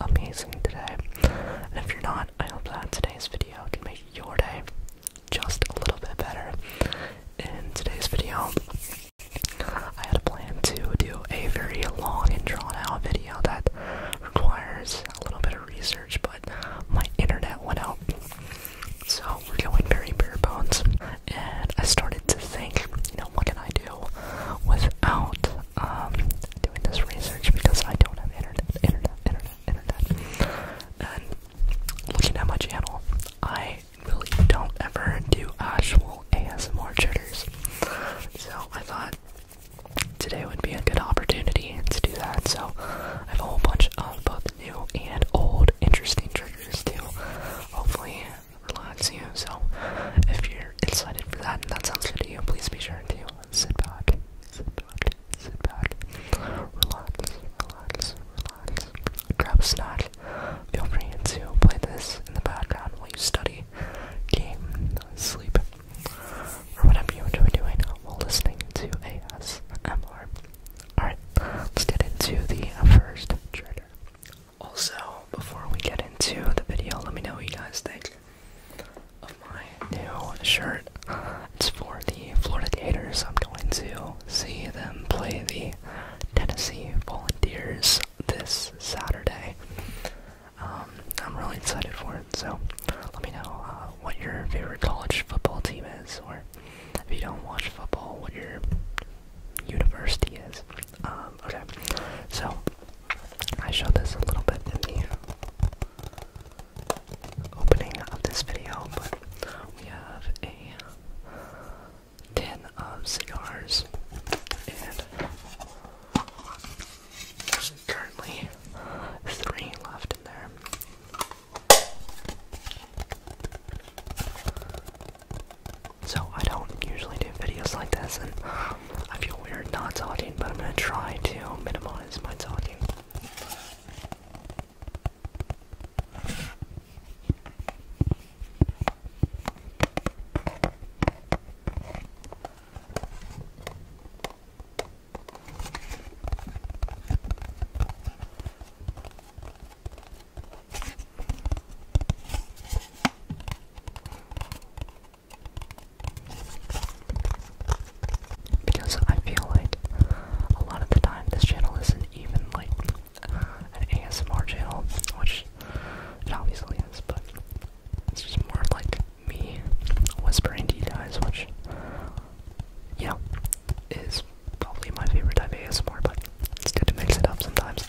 amazing today. And if you're not, I hope that today's video can make your day just a little bit better. In today's video, I had a plan to do a very long and drawn out video that requires a little bit of research, but my internet went out. So we're going very bare bones. And I started to think, you know, what can I do? without um, doing this research because I don't have internet, internet, internet, internet. And looking at my channel, I really don't ever do actual ASMR triggers. So I thought today would be a good opportunity to do that. So I have a whole bunch of both new and old interesting triggers to hopefully relax you. So, if you're excited for that and that sounds good to you, please be sure to sit back, sit back, sit back, relax, relax, relax. Grab a snack. Feel free to play this in the background while you study, game, sleep, or whatever you enjoy doing while listening to ASMR. Alright, let's get into the first trailer. Also, before we get into the video, let me know what you guys think of my new shirt. It's for the Florida Gators. I'm going to see them play the Tennessee Volunteers this Saturday. Um, I'm really excited for it, so let me know uh, what your favorite college football team is, or if you don't watch football, what your university is. Um, okay, so I showed this a little bit in the opening of this video, but we have a ten of cigars, and there's currently three left in there. So I don't usually do videos like this, and I feel weird not talking, but I'm gonna try to minimize my talking. Because I feel like a lot of the time this channel isn't even like an ASMR channel, which it obviously is, but it's just more like me whispering to you guys, which, yeah know, is probably my favorite type of ASMR, but it's good to mix it up sometimes.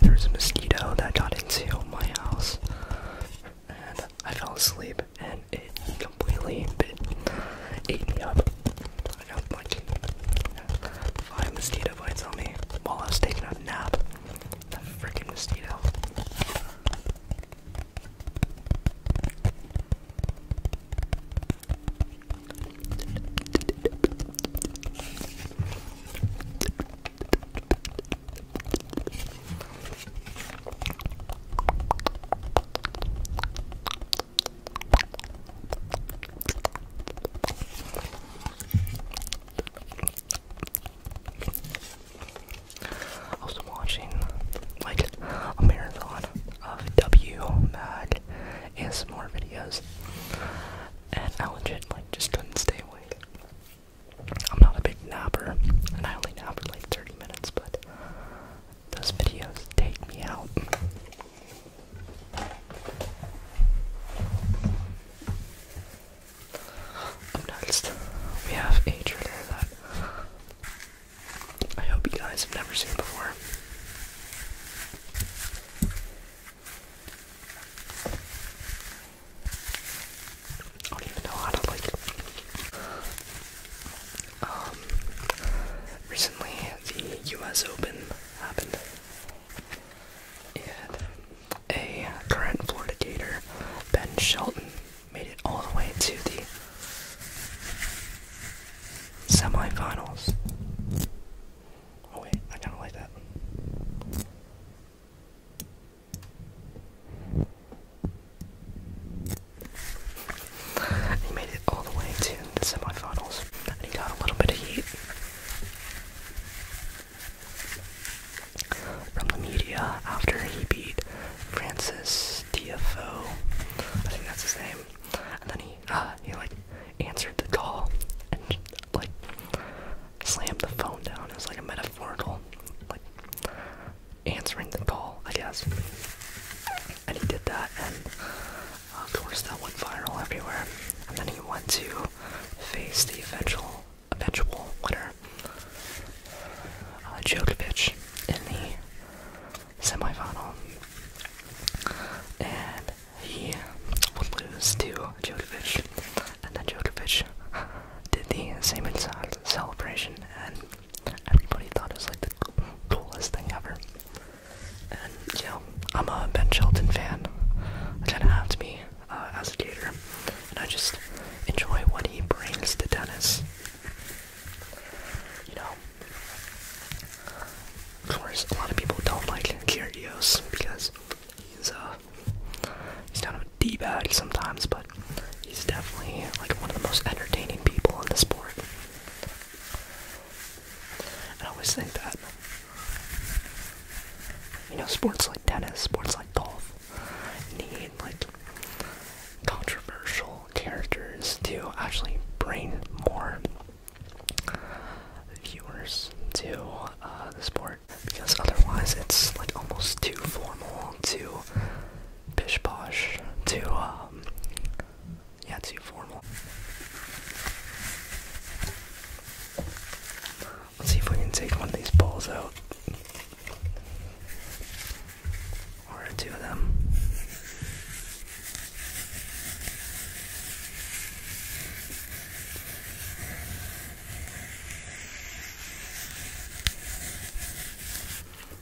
There's a mosquito that got into my house, and I fell asleep, and it completely bit, ate me up. I got like five mosquito bites on me while I was taking a nap. That freaking mosquito. Also watching like a marathon of W Mad and some more videos, and I legit like just couldn't stay awake. I'm not a big napper, and I only nap for like 30 minutes, but those videos take me out. Up next, we have a trailer that I hope you guys have never seen before. I don't even know how to like. Um, recently the U.S. Open happened, and a current Florida Gator, Ben Shelton, made it all the way to the semifinals. Oh wait, I kind of like that. he made it all the way to the semi-finals, and he got a little bit of heat from the media after he beat Francis Tiafoe. I think that's his name. And then he uh, he like answered the call and like slammed the phone down. It was like a metaphorical like answering the call, I guess. And he did that, and uh, of course that went viral everywhere. And then he went to face the eventual eventual winner, uh, Djokovic, in the Semi-final, and he would lose to Djokovic, and then Djokovic did the same exact celebration, and everybody thought it was like the coolest thing ever. And you know, I'm a Ben Shelton fan. I kind of have to be uh, as a gator, and I just enjoy what he brings to tennis. You know, of course, a lot of people don't like Kyrgios because he's uh he's kind of a d-bag sometimes, but he's definitely like one of the most entertaining people in the sport. And I always think that you know, sports like tennis, sports like golf need like controversial characters to actually bring more viewers to uh, the sport because otherwise it's like almost too formal, too pish posh, too um, yeah, too formal. Let's see if we can take one of these balls out or two of them.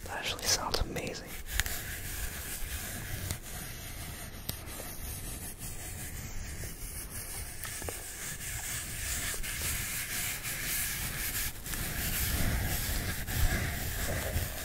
That actually sounds amazing.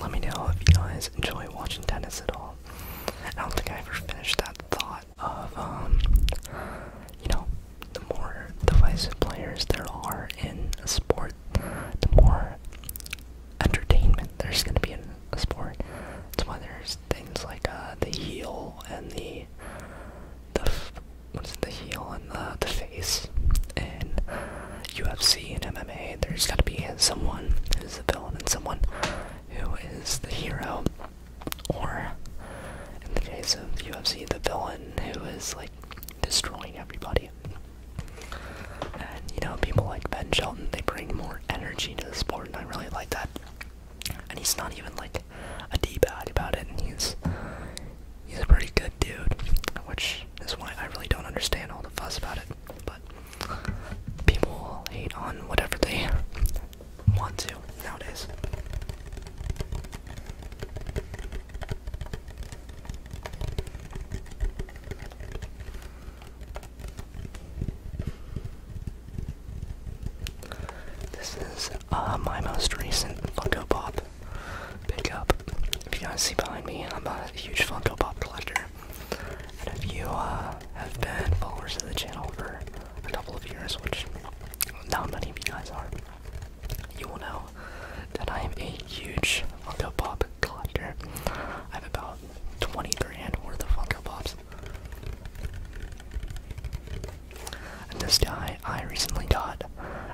Let me know if you guys enjoy watching tennis at all. I don't think I ever finished that thought of, um, you know, the more divisive players there are in a sport, the more entertainment there's going to be in a sport. That's why there's things like uh, the heel and the the what's it, the heel and the the face in UFC and MMA. There's got to be someone who's the villain and someone who is the hero. Or, in the case of UFC, the villain who is like destroying everybody. And you know, people like Ben Shelton, they bring more energy to the sport, and I really like that. And he's not even like a d-bag about it, and he's he's a pretty good dude, which is why I really don't understand all the fuss about it. But people hate on whatever they want to nowadays. This is uh, my most recent Funko Pop pickup. If you guys see behind me, I'm a huge Funko Pop collector. And if you uh, have been followers of the channel for a couple of years, which now many of you guys are. You will know that I am a huge Funko Pop collector. I have about 20 grand worth of Funko Pops. And this guy I recently got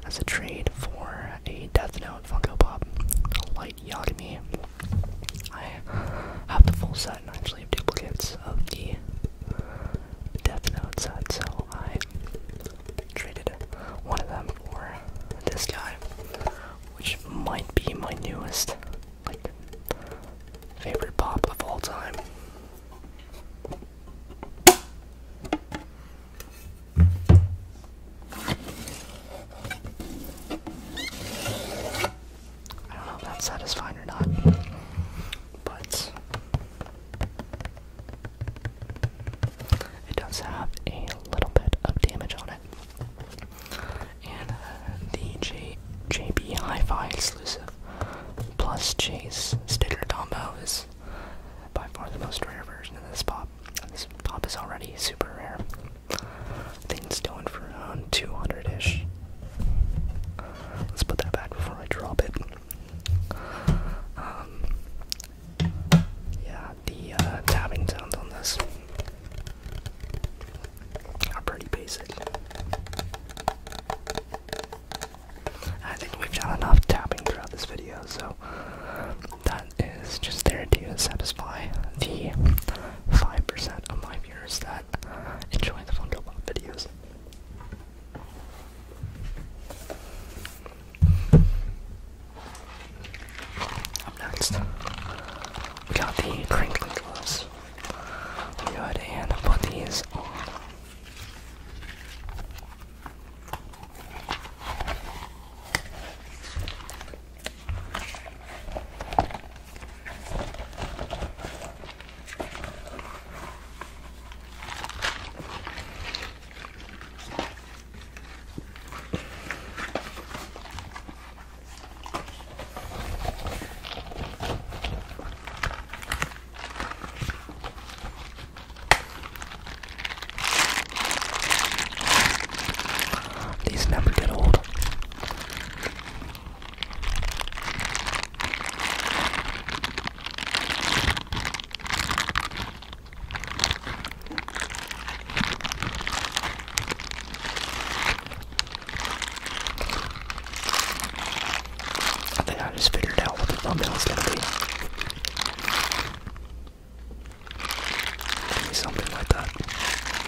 as a trade for a Death Note Funko Pop, Light Yagami. I have the full set. I actually have duplicates of the Death Note side, so I traded one of them for this guy, which might be my newest, like, favorite pop of all time. I don't know if that's satisfying or not. But it does have a little bit of damage on it. And uh, the J JB Hi-Fi exclusive plus Chase sticker combo is by far the most rare version of this pop. This pop is already super rare. I think it's going for around 200-ish. Let's put that back before I drop it. Um, yeah, the uh, tapping on this are pretty basic. I think we've done enough tapping throughout this video, so that is just there to satisfy the 5% of my viewers that enjoy the Funko Pop videos. Up next, got the crinkly gloves. go ahead and put these on. These never get old. I think I just figured out what the thumbnail is gonna be. Maybe something like that.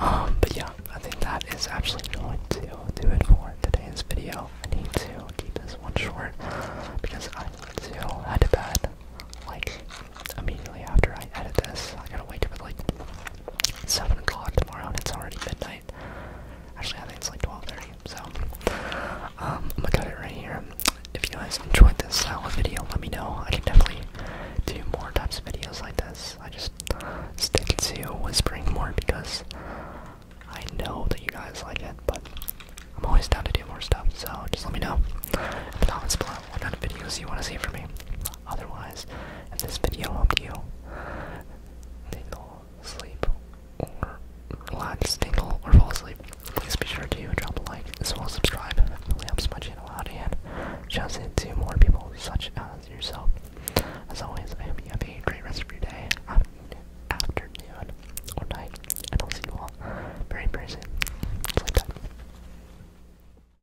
Um, but yeah, I think that is actually going to do it for today's video. I need to keep this one short because I need to head to bed like immediately after I edit this. I gotta wake up at like it's 7 o'clock tomorrow and it's already midnight. Actually, I think it's like 12.30, so um, I'm gonna cut it right here. If you guys enjoyed this style of video, let me know. I can definitely do more types of videos like this. I just stick to whispering more because I know that you guys like it, but I'm always down to do more stuff, so just let me know in the comments below what kind of videos you want to see from me. Otherwise, in this video, up to you. Tingle, sleep, or relax, tingle, or fall asleep. Please be sure to drop a like as well as subscribe. It really helps my channel out and shows it to more people such as yourself. As always, I hope you have a great rest of your day, afternoon, or night, and I'll see you all very soon. Sleep tight.